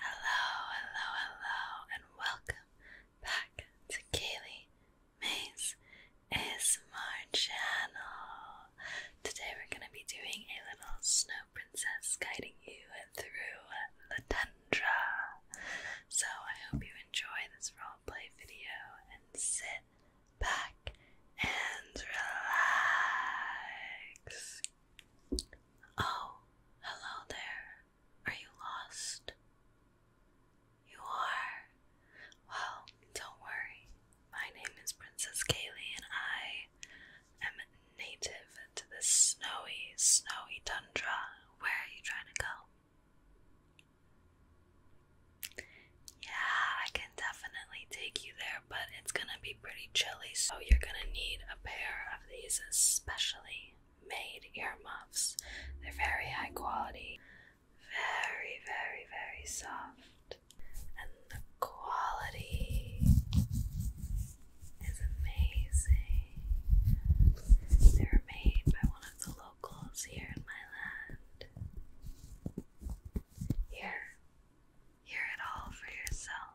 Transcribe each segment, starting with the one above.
Hello, hello, hello, and welcome back to Kaylee Mays ASMR channel. Today we're going to be doing a little snow princess guiding you through the tundra. So I hope you enjoy this roleplay video and sit back and relax. Oh, Hello there. Are you lost? You are? Well, don't worry. My name is Princess Kaylee, and I am native to this snowy, snowy tundra. Where are you trying to go? Yeah, I can definitely take you there but it's gonna be pretty chilly, so you're gonna need a pair of these specially made earmuffs. They're very high quality, very, very, very soft, and the quality is amazing. They were made by one of the locals here in my land. Here Hear it all for yourself.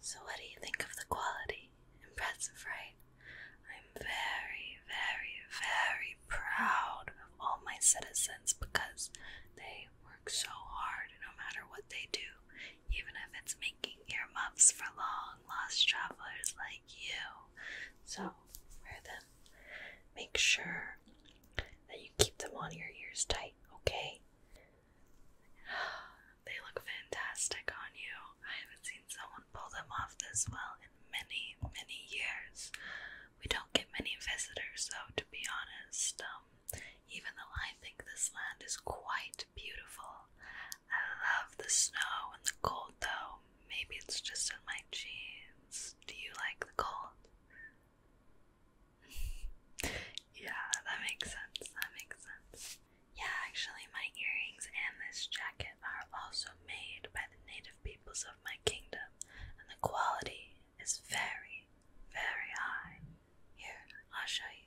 So, what do you think of the quality? Impressive, right? I'm very, very, very proud of all my citizens because they work so hard no matter what they do, even if it's me making earmuffs for long lost travelers like you. So wear them. Make sure that you keep them on your ears tight, okay? They look fantastic on you. I haven't seen someone pull them off this well in many, many years. We don't get many visitors, though, to be honest. Um, even though I think this land is quite beautiful. I love the snow and the cold though. Maybe it's just in my genes. Do you like the cold? yeah, that makes sense. That makes sense. Yeah, actually, my earrings and this jacket are also made by the native peoples of my kingdom, and the quality is very, very high. Here, I'll show you.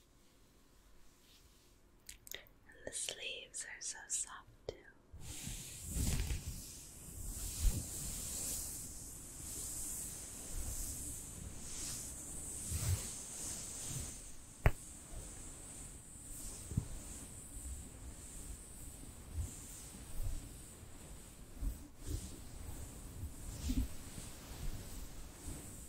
the sleeves are so soft, too.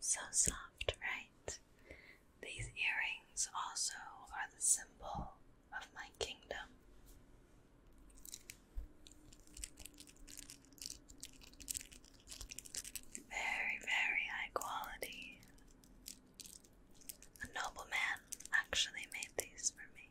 So soft, right? These earrings also are the symbol of my kingdom. Very, very high quality. A nobleman actually made these for me.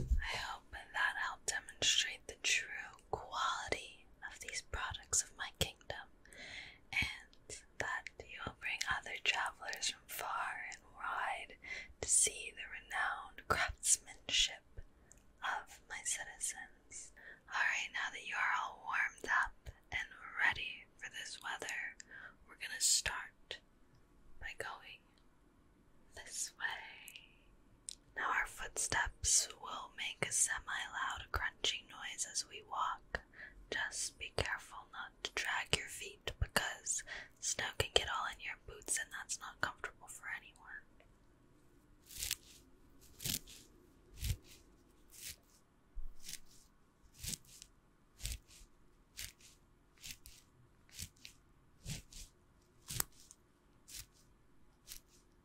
I hope that helped demonstrate the true quality of these products of my kingdom and that you will bring other travelers from far and wide to see the renowned craftsmanship of my citizens. Alright, now that you are all warmed up and ready for this weather, we're gonna start by going this way. Now our footsteps we'll make a semi loud crunching noise as we walk. Just be careful not to drag your feet because snow can get all in your boots and that's not comfortable for anyone.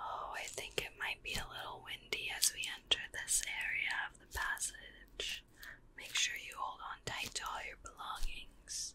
Oh, I think it might be a little windy as we enter this area of the passage. Make sure you hold on tight to all your belongings.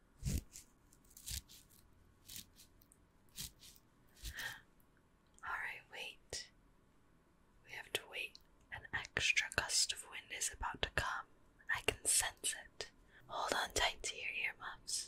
Alright, wait. We have to wait. An extra gust of wind is about to come. I can sense it. Hold on tight to your ear muffs.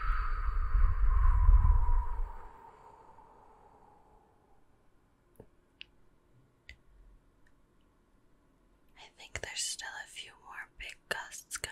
I think there's still a few more big gusts coming.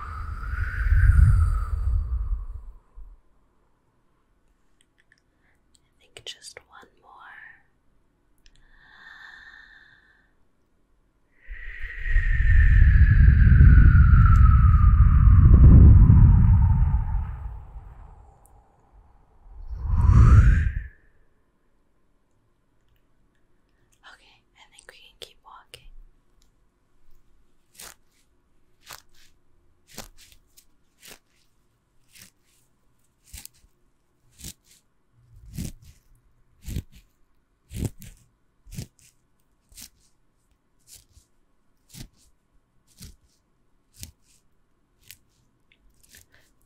I think just one more. Okay, I think we can keep walking.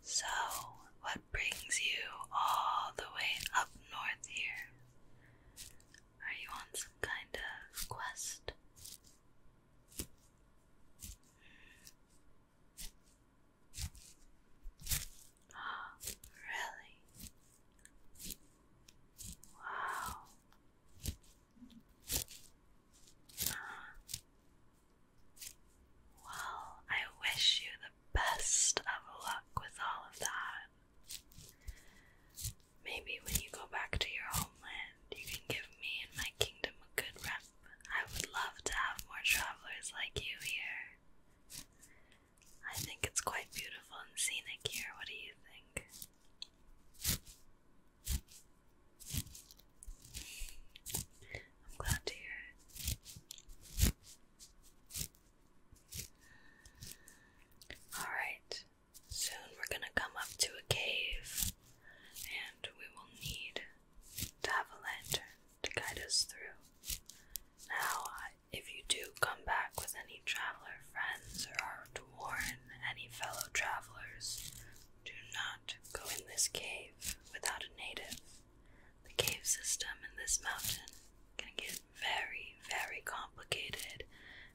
So, what brings you all the way up north here? Are you on some kind of quest? Oh, really? Wow. well, I wish you the best of luck with all of that. Maybe when you go back to your homeland, you can give me and my kingdom a good rep. I would love to have more travelers like you here. I think it's quite beautiful and scenic here. What do you think? I'm glad to hear it. Alright, soon we're gonna come up to a cave and we will need to have a lantern to guide us through. Now, if you do come back with any traveler friends or are to warn any fellow travelers, do not go in this cave without a native. The cave system in this mountain can get very, very complicated,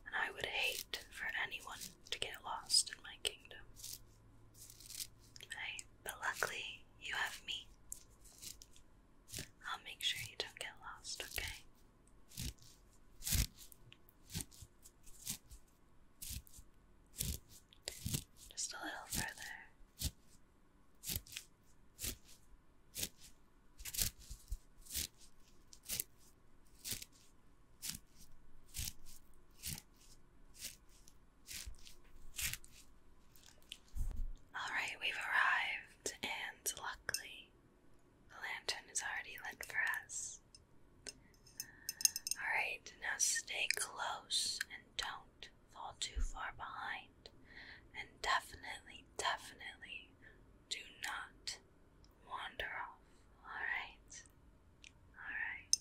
and I would hate for anyone to get lost in my kingdom. But luckily, you have me. I'll make sure you don't get lost, okay? Just a little further. Alright, we've arrived, and luckily, the lantern is already lit for us. Alright, now stay close and don't fall too far behind, and definitely, definitely do not wander off. Alright? Alright.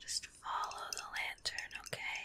Just follow the lantern, okay?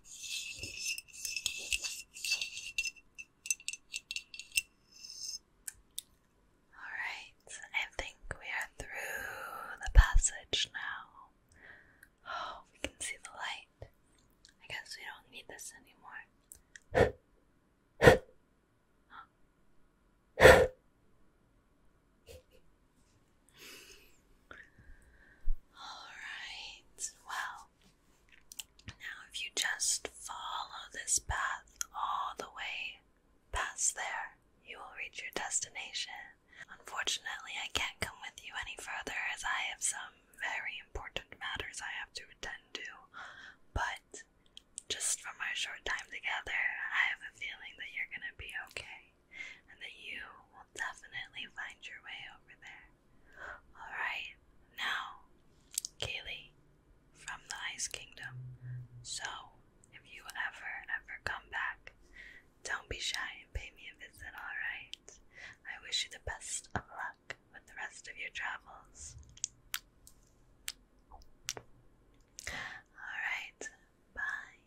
Alright, I think we are through the passage now. Oh, we can see the light. I guess we don't need this anymore. Alright, well, now if you just follow this path all the way past there, you will reach your destination. Unfortunately, I can't come with you any further as I have some very important matters I have to attend to, but just from our short time together, I have a feeling that you're gonna be okay and that you will definitely find your way over there. Alright, now, Kaylee from the Ice Kingdom. So, if you ever, ever come back, don't be shy and pay me a visit, alright? I wish you the best of luck with the rest of your travels. Alright, bye.